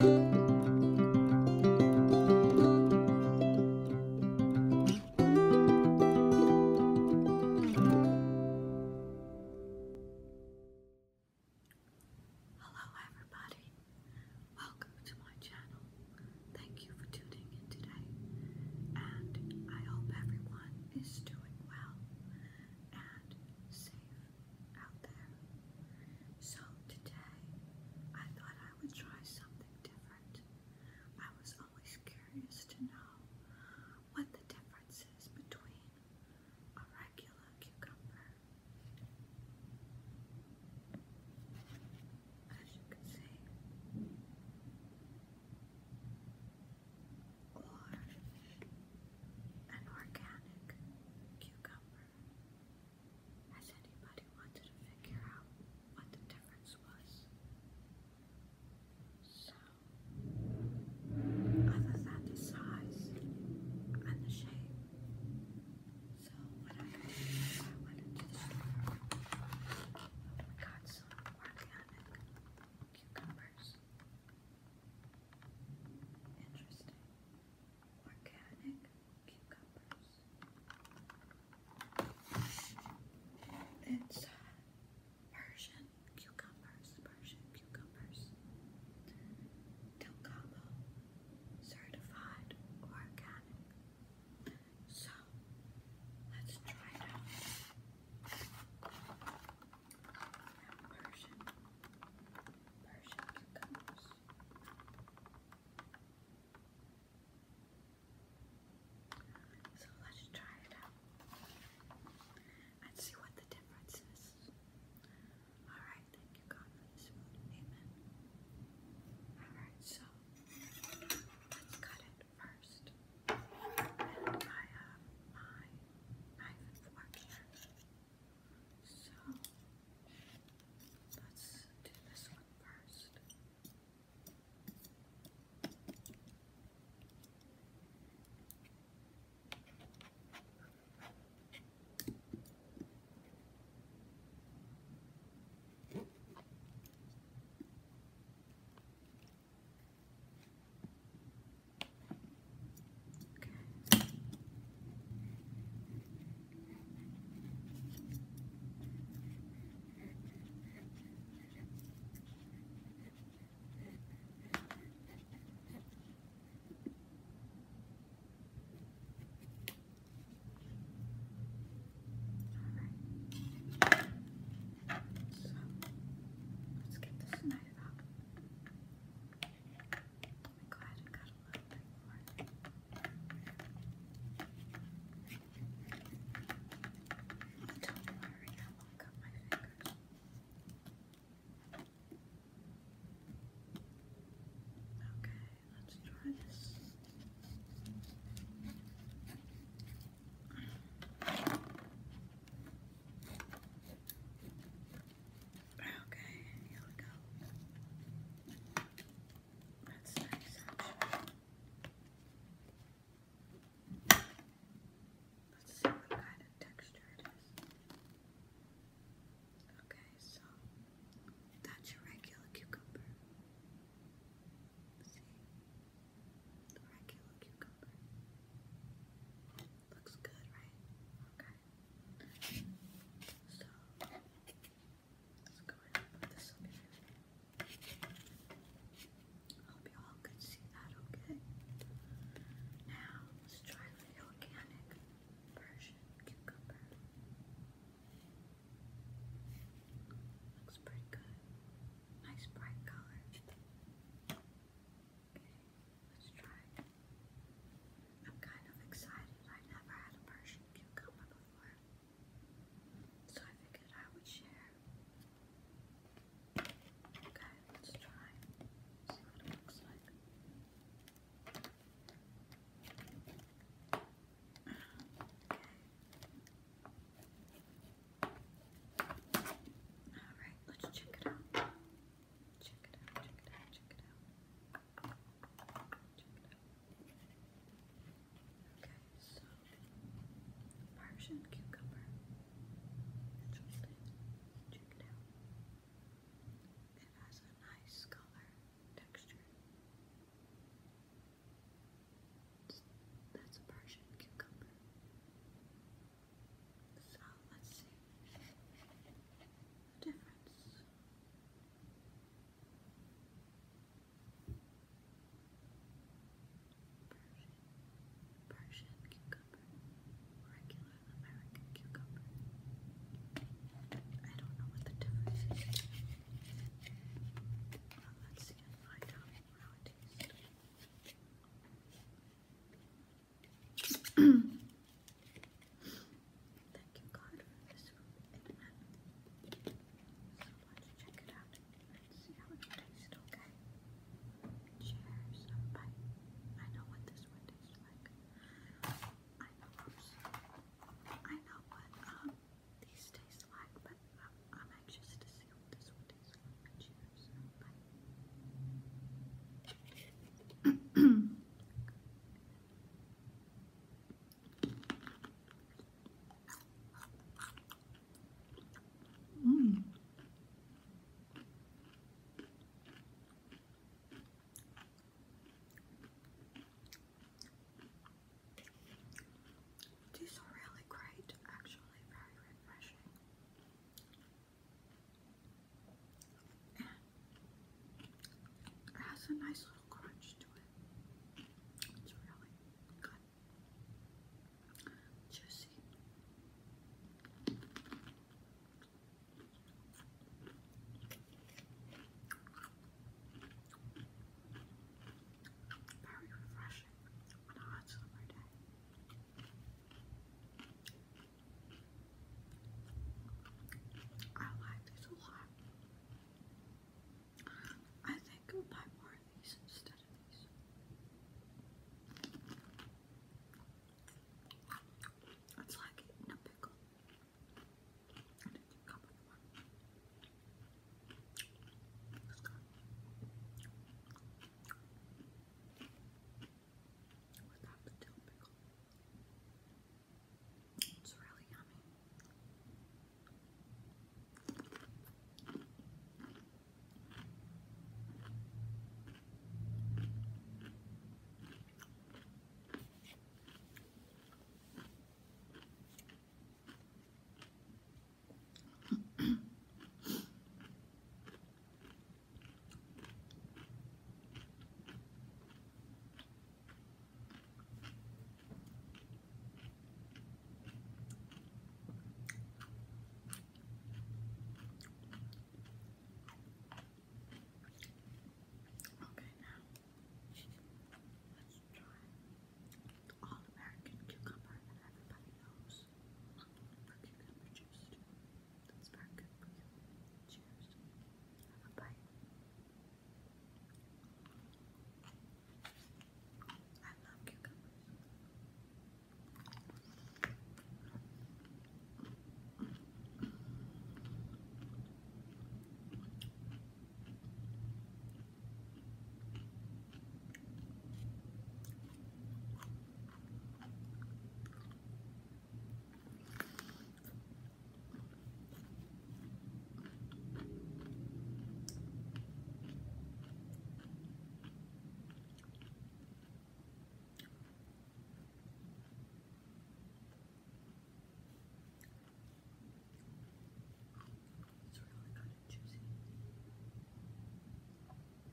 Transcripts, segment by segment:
Hello everybody, welcome to my channel. Thank you for tuning in today and I hope everyone is doing well and safe out there. So today, I thought I would try something different. I was always curious to know what the difference is between a regular cucumber. As you can see, or an organic cucumber. Has anybody wanted to figure out what the difference was? So, other than the size and the shape, so when I got some organic cucumbers. Interesting organic cucumbers. It's cucumbers, Persian cucumbers. Del certified organic. So let's try it out. cucumbers. So let's try it and see what the difference is. Alright, thank you, God, Amen. Alright, so let's cut it first. I have uh, my knife and fork here. So let's do this one first. Okay. Okay. All right. let's get this knife out. Let me go a little Don't worry, I won't cut my fingers. Okay, let's try this. Okay, here we go. That's nice Let's see what kind of texture it is. Okay, so that's your regular cucumber. See? The regular cucumber. Looks good, right? Okay. So hope you all could see that okay. Now let's try the organic version cucumber. Looks pretty good. Nice bright color. Okay. Let's try I'm kind of excited. I never had a Persian cucumber before. So I figured I would share. Okay, let's try. See what it looks like. Alright, let's check it out. Check it out, check it out, check it out. Okay, so Persian cucumber. Interesting. Check it out. It has a nice color texture. That's a Persian cucumber. So let's see the difference. Persian, Persian cucumber, regular American cucumber. I don't know what the difference is. let's see and find out how it Thank you, God, for this So let check it out and see how it tastes, okay? Cheers. I, I know what this one tastes like. I know, I know what um, these taste like, but I'm anxious to see what this one tastes like. Cheers. Bye mm. These really great, actually, very refreshing. It has a nice little crunch to it. It's really good. Juicy. Very refreshing on a hot summer day. I like these a lot. I think I'll buy more these instead of these. It's like eating a pickle without the It's really yummy. Okay, now let's try All American cucumber that everybody knows cucumber juice. That's not good you. Cheers. Have a bite. I love cucumbers. It's really good at choosing.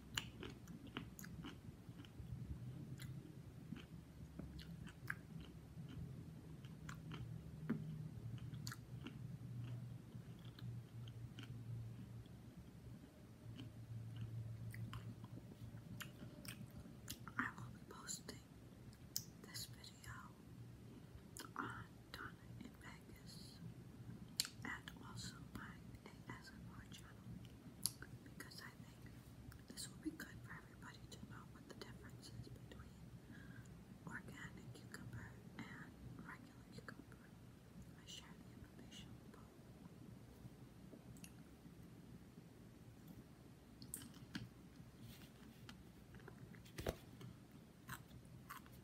I will be posting this video on Donna and Peggy is and also my ASMR channel because I think this will be good for everybody to know what the difference between organic cucumber and regular cucumber. I share the information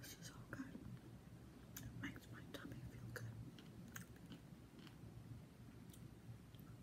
This is all good. makes my tummy feel good.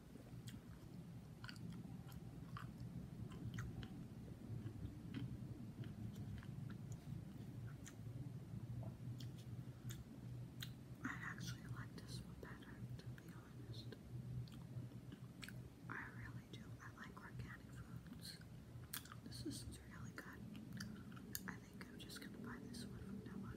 I actually like this one better, to be honest. I really do. I like organic foods. This is really good. I think I'm just gonna buy this one from now on.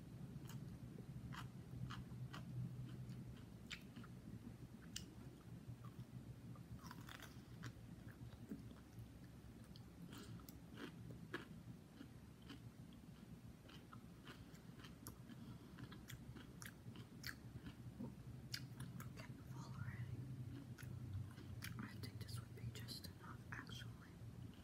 Full already. I think this would be just enough, actually.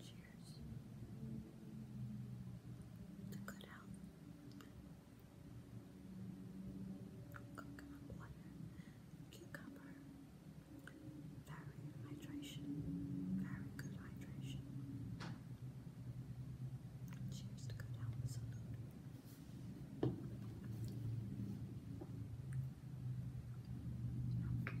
Cheers to good health. cucumber, very hydration, very good hydration. Cheers to good health, Okay.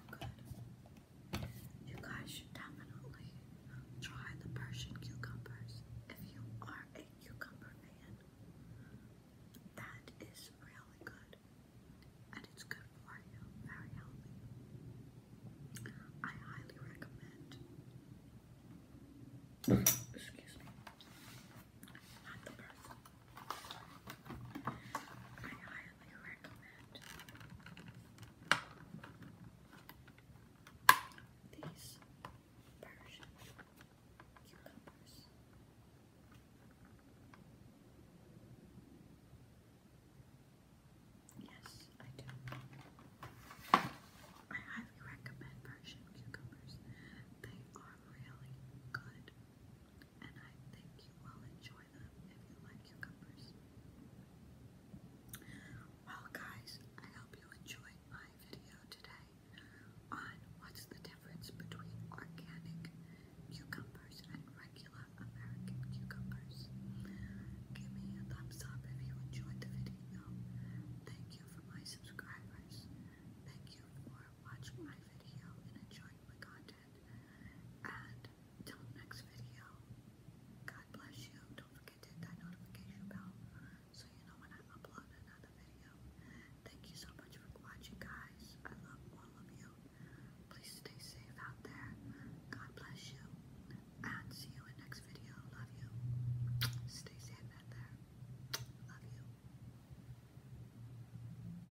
You guys should definitely try the Persian cucumbers if you are a cucumber fan. That is really good. And it's good for you, very healthy. I highly recommend. Excuse me. Not the person highly recommend. These Persian cucumbers. Yes, I do. I highly recommend Persian cucumbers. They are really good and I think you will enjoy them if you like cucumbers. Well, guys, I hope you enjoyed my video today on what's the difference between organic cucumbers and regular American cucumbers. Give me a thumbs up if you enjoyed the video. Thank you for my subscribers. Thank you for watching my video and enjoying my content. And till next video, God bless you. Don't forget to hit that notification bell so you know when I upload another video. Thank you so much for watching, guys. I love all of you. Please stay safe out there. God bless you. And see you in the next video. Love you. Stay safe out there. Love you.